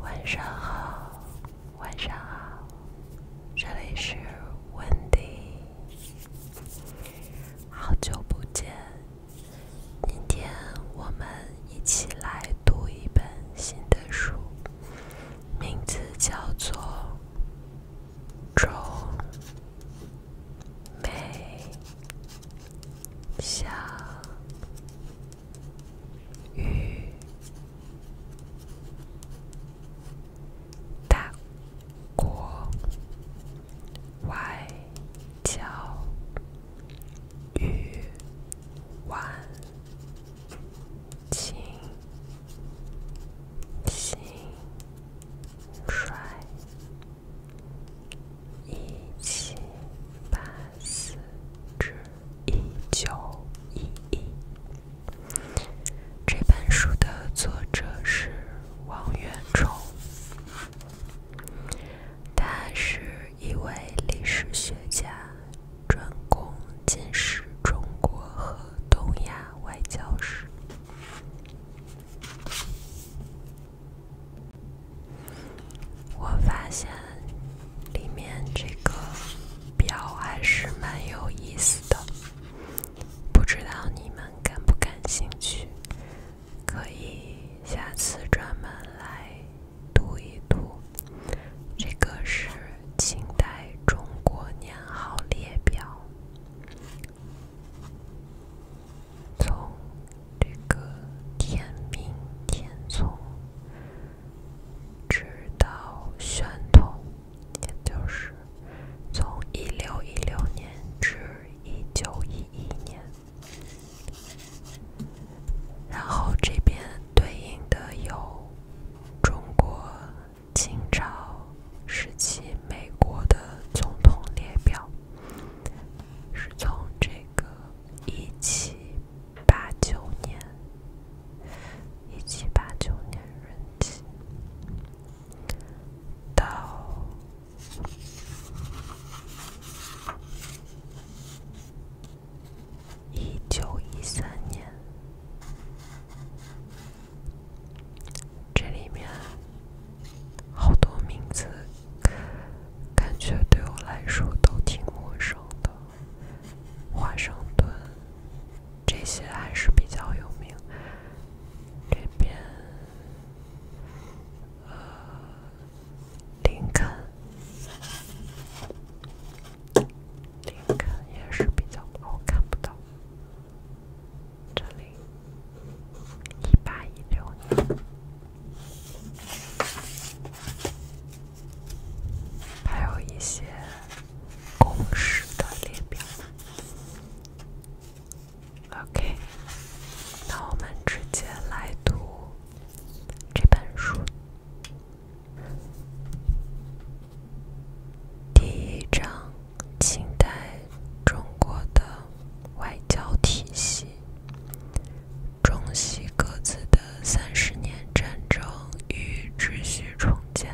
晚上好，晚上好，这里是 Wendy，好久不见，今天我们一起来读一本新的书，名字叫做《中美》。小雨，大国外交，欲挽情，心衰。一七八四至一九一一，这本书的作者是王元忠，他是一位历史学家，专攻近世中国和东亚外交史。我发现里面这个表还是蛮有意思的，不知道你们感不感兴趣？可以下次专门来读一读。这个是清代中国年号列表。从这个天命天从，直到宣统，也就是从一六一六年至一九一一年，然后这边对应的有中国清朝时期美国的总统列表。是从这个一七八九年，一七八九年任期到一九一三年。这里面好多名字，感觉对我来说都挺陌生的。华盛顿这些还是比较有名。这边呃，林肯，林肯也是比较，我看不到。这里，一八一六，还有一些公式的列表。OK，那我们直接来读这本书第一章。清代中国的外交体系，中西各自的三十年战争与秩序重建。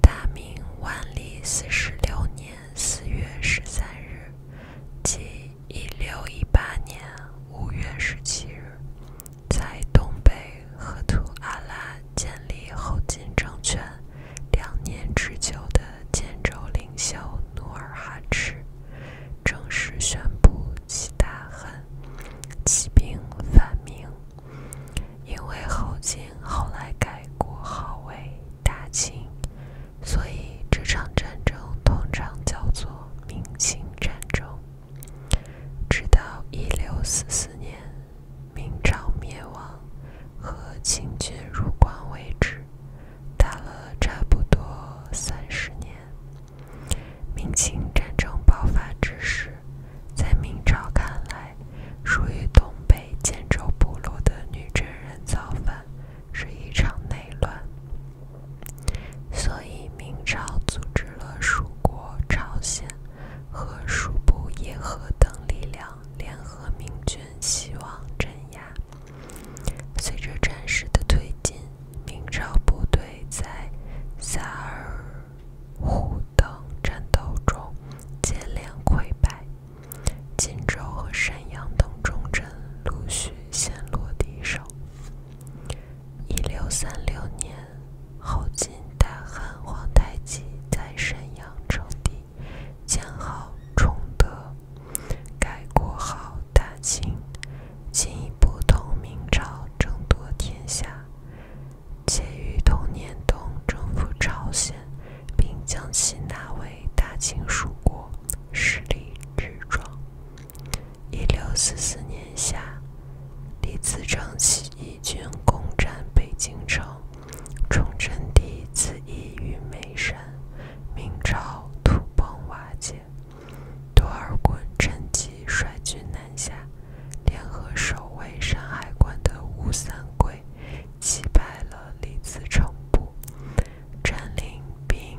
大明万历四十六年四月十三日，即一六一八年五月十七日，在东北赫图阿拉建立后金政权。两年之久的建州领袖努尔哈赤正式宣布其大汗，起兵反明。因为后金后来改国号为大清，所以这场战争通常叫做明清战争。直到一六四四年。明朝灭亡和清军入关为止，打了差不多三十年。明清战争爆发之时，在明朝看来，属于东北建州部落的女真人造反是一场内乱，所以明朝组织了蜀国、朝鲜和熟部、叶河等力量。联合明军，希望镇压。随着战事的推进，明朝部队在萨尔浒等战斗中接连溃败，锦州和沈阳等重镇陆续陷落敌手。一六三六年，后晋大汗皇太极在沈阳称帝。建号崇德，改国号大清，进一步同明朝争夺天下。且于同年冬征服朝鲜，并将其纳为大清属国，实力日壮。一六四四年夏，李自成起义。军攻占北京城，崇祯帝自缢于煤山，明朝土崩瓦解。多尔衮趁机率军南下，联合守卫山海关的吴三桂，击败了李自成部，占领兵。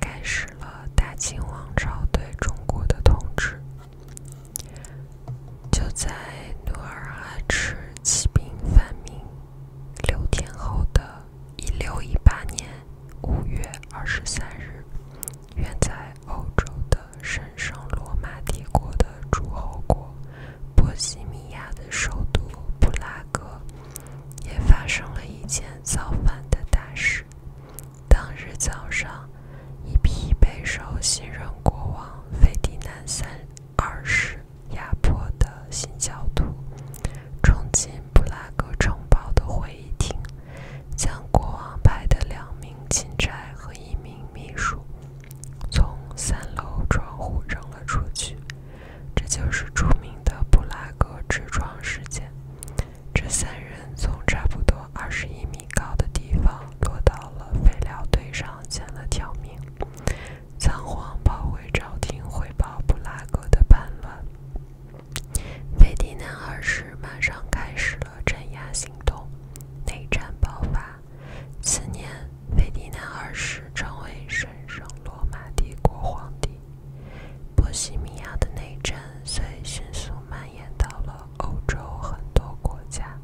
开始了大清王朝对中国的统治。就在努尔哈赤起兵反明六天后的1618年5月23日，远在欧洲的神圣罗马帝国的诸侯国波西米亚的首都布拉格，也发生了一件造反的大事。当日早上，一批备受新任国王费迪南三二世压迫的新教徒，冲进布拉格城堡的会议厅，将国王派的两名钦差和一名秘书从三楼窗户扔了出去。这就是著名的布拉格之窗事件。这三人从差不多二十一米高的地方落到了废料堆上，捡了条命。仓皇跑回朝廷汇报布拉格的叛乱。费迪南二世马上开始了镇压行动，内战爆发。次年，费迪南二世成为神圣罗马帝国皇帝。波西米亚的内战虽迅速蔓延到了欧洲很多国家，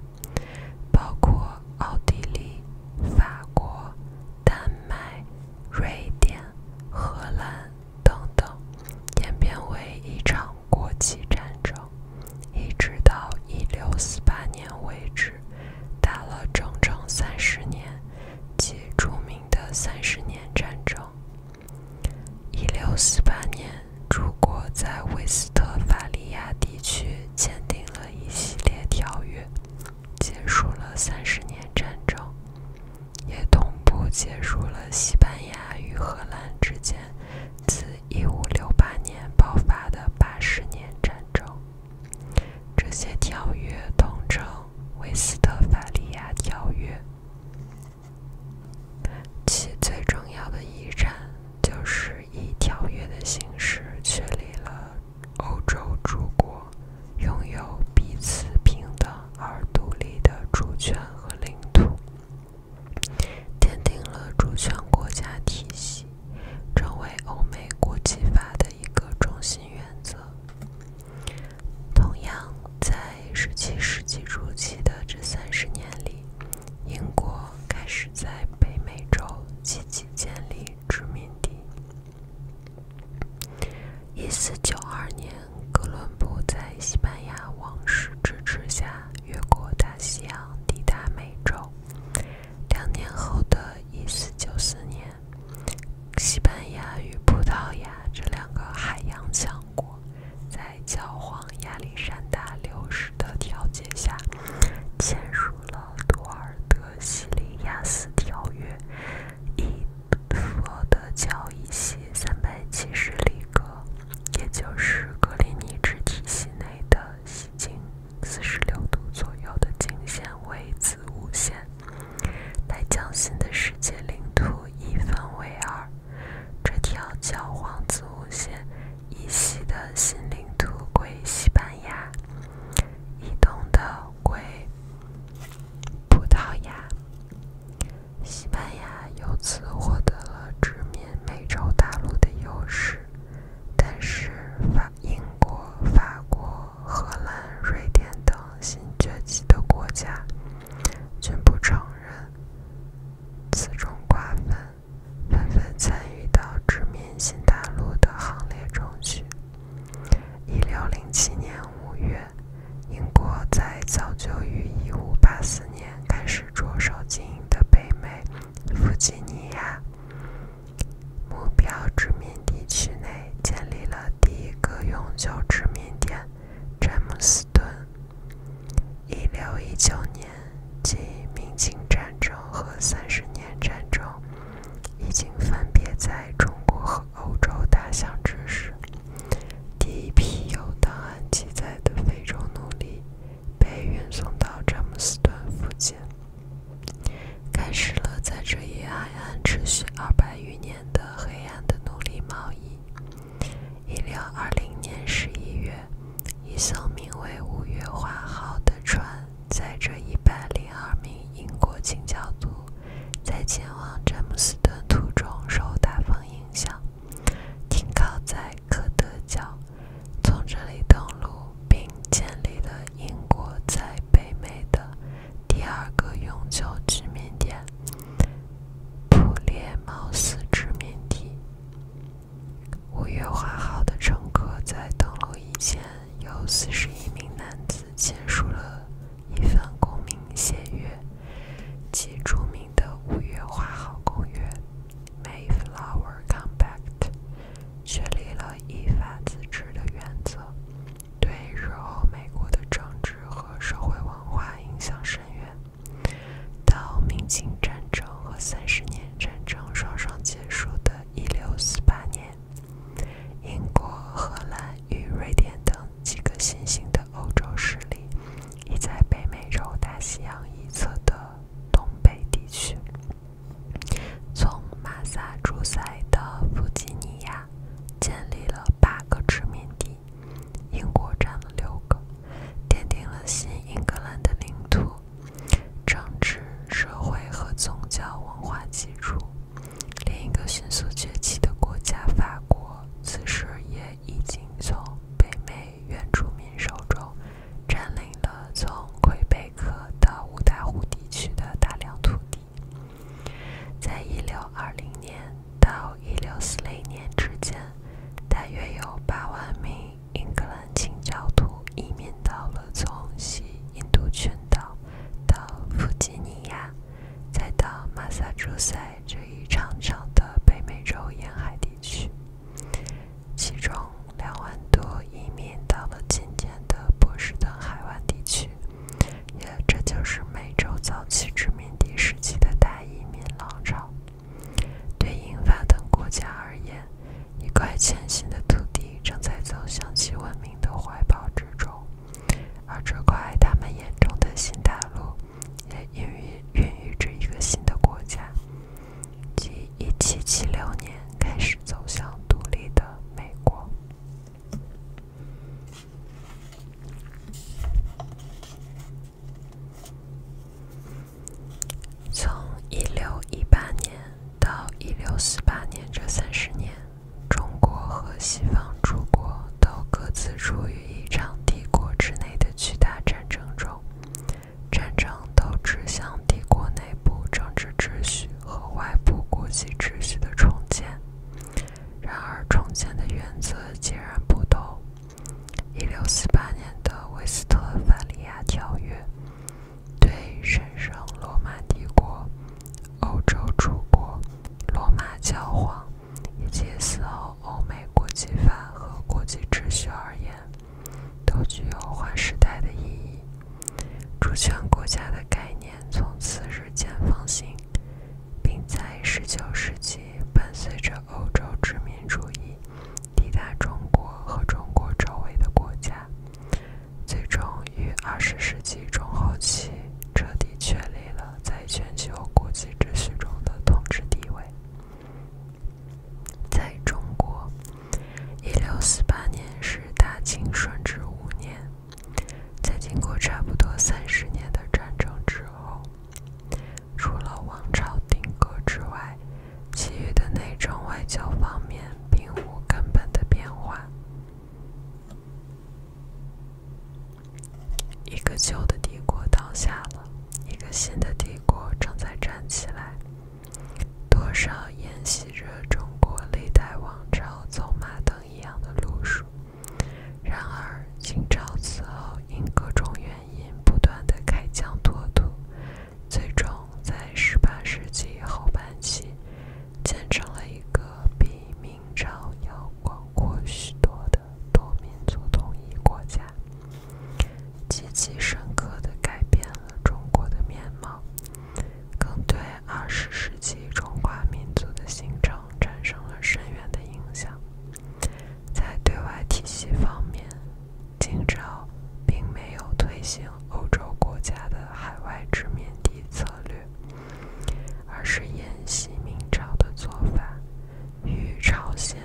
包括奥地利、法国、丹麦、瑞典、荷兰等等，演变为一场国际战争，一直到一六四八年为止，打了整整三十年，极著名。的三十年战争。一六四八年，诸国在威斯特法利亚地区签订了一系列条约，结束了三十年战争，也同步结束了西班牙与荷兰之间自一五六八年爆发的八十年战争。这些条约统称。《威斯特伐利亚条约》其最重要的遗产就是以条约的形式确立了欧洲诸国拥有彼此平等而独立的主权和领土，奠定了主权国家体系，成为欧美国际法的一个中心原则。同样，在十七世纪初期的这三十年里，英国开始在北美洲积极建立殖民地。一四九二年，哥伦布在西班牙王室支持下，越过大西洋抵达美洲。两年后的一四九四年。西班牙与葡萄牙这两个海洋强国，在教皇亚历山大六世的调解下，签署了《多尔德西利亚斯条约》，以佛的教义系三百七十里格，也就是格林尼治体系内的西经四十六度左右的经线为子午线。将新的世界领土一分为二，这条教皇子午线以西的新领土归西班牙，以东的归葡萄牙。西班牙由此获得了殖民美洲大陆的优势，但是法。英国、法国、荷兰、瑞典等新崛起的国家均不承认此种瓜分，纷纷参与到殖民新大陆的行列中去。1607年5月，英国在早就于1584年开始着手经营的北美弗吉尼亚。目标殖民地区内建立了第一个永久殖民点——詹姆斯顿。1619年，即明清战争和三十年战争已经分别在中国和欧洲打响之时，第一批有档案记载的非洲奴隶被运送到詹姆斯顿附近。开始了在这一海岸持续二百余年的黑暗的奴隶贸易。一六二零年十一月，一艘名为“五月花号”的船载着一百零二名英国清教徒，在前往詹姆斯敦途中受大风影响，停靠在科德角，从这里登陆。并建立了英国在北美的第二个永久居民点——普列茅斯殖民地。五月花号的乘客在登陆以前，有41名男子签署了一份公民协约，即著名的五月花号公约 （Mayflower Compact）。确立了依法自治的原则，对日后美国的政治和社会文化影响深远。到明清战争和三十年战争双双结束的一六四八年，英国、荷兰与瑞典等几个新兴的欧洲势力已在北美洲大西洋一侧的东北地区。从马萨诸塞的弗吉尼亚建立了八个殖民地，英国占了六个，奠定了新英格兰的领土、政治、社会和宗教文化基础。另一个迅速崛起的国家——法国，此时也已经从北美原住民手中占领。领了从魁北克到五大湖地区的大量土地，在1620年到1646年之间，大约有8万名英格兰清教徒移民到了从西印度群岛到弗吉尼亚再到马萨诸塞这一长长的北美洲沿海地区，其中。两万多移民到了今天的波士顿海湾地区，也这就是美洲早期殖民地时期的大移民浪潮。对英法等国家而言，一块全新的土地正在走向其文明的怀抱之中，而这块他们眼中的新大陆，也孕育孕育着一个新的国家。即1776年开始走向独立的美国。从1618年到1648年这三十年，中国和西方诸国都各自处于一场帝国之内的巨大战争中。战争都指向帝国内部政治秩序和外部国际秩序的重建，然而重建的原则截然不同。1648年的《威斯特伐利亚条约》对神圣罗马帝国、欧洲诸国、罗马教皇以及此后欧美国际法和国际秩序而言。都具有划时代的意义。主权国家的概念从此日渐放行，并在19世纪伴随着欧洲殖民主义抵达中国和中国周围的国家，最终于20世纪中后期彻底确立了在全球国际秩序中的统治地位。在中国，一六四八年是大清顺治五年。在经过差不多三十年的战争之后，除了王朝定格之外，其余的内政外交方面并无根本的变化。一个旧的帝国倒下了，一个新的帝国正在站起来。多少沿袭着中国历代王朝走马灯一样的路数？然而，清朝此后因各种原因不断的开疆拓土，最终在十八世纪后半期，建成了一个比明朝要广阔许多的多民族统一国家。极其深刻的改变了中国的面貌，更对二十世纪中华民族的形成产生了深远的影响。在对外体系方面，清朝并没有推行欧洲国家的海外殖民地策略，而是沿袭明朝的做法，与朝鲜。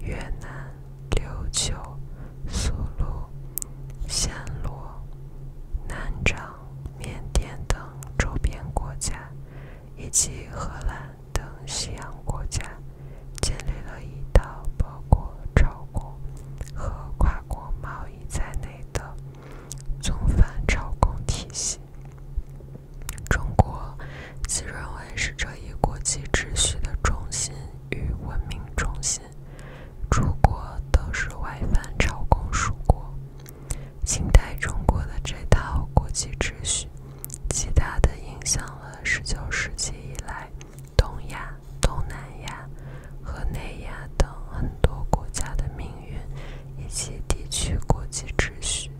越南、琉球、苏禄、暹罗、南掌、缅甸等周边国家，以及荷兰等西洋国家，建立了一套包括朝贡和跨国贸易在内的宗藩朝贡体系。中国自认为是这一国际秩序的中心。与文明中心诸国都是外藩朝贡属国。近代中国的这套国际秩序，极大的影响了19世纪以来东亚、东南亚和南亚等很多国家的命运以及地区国际秩序。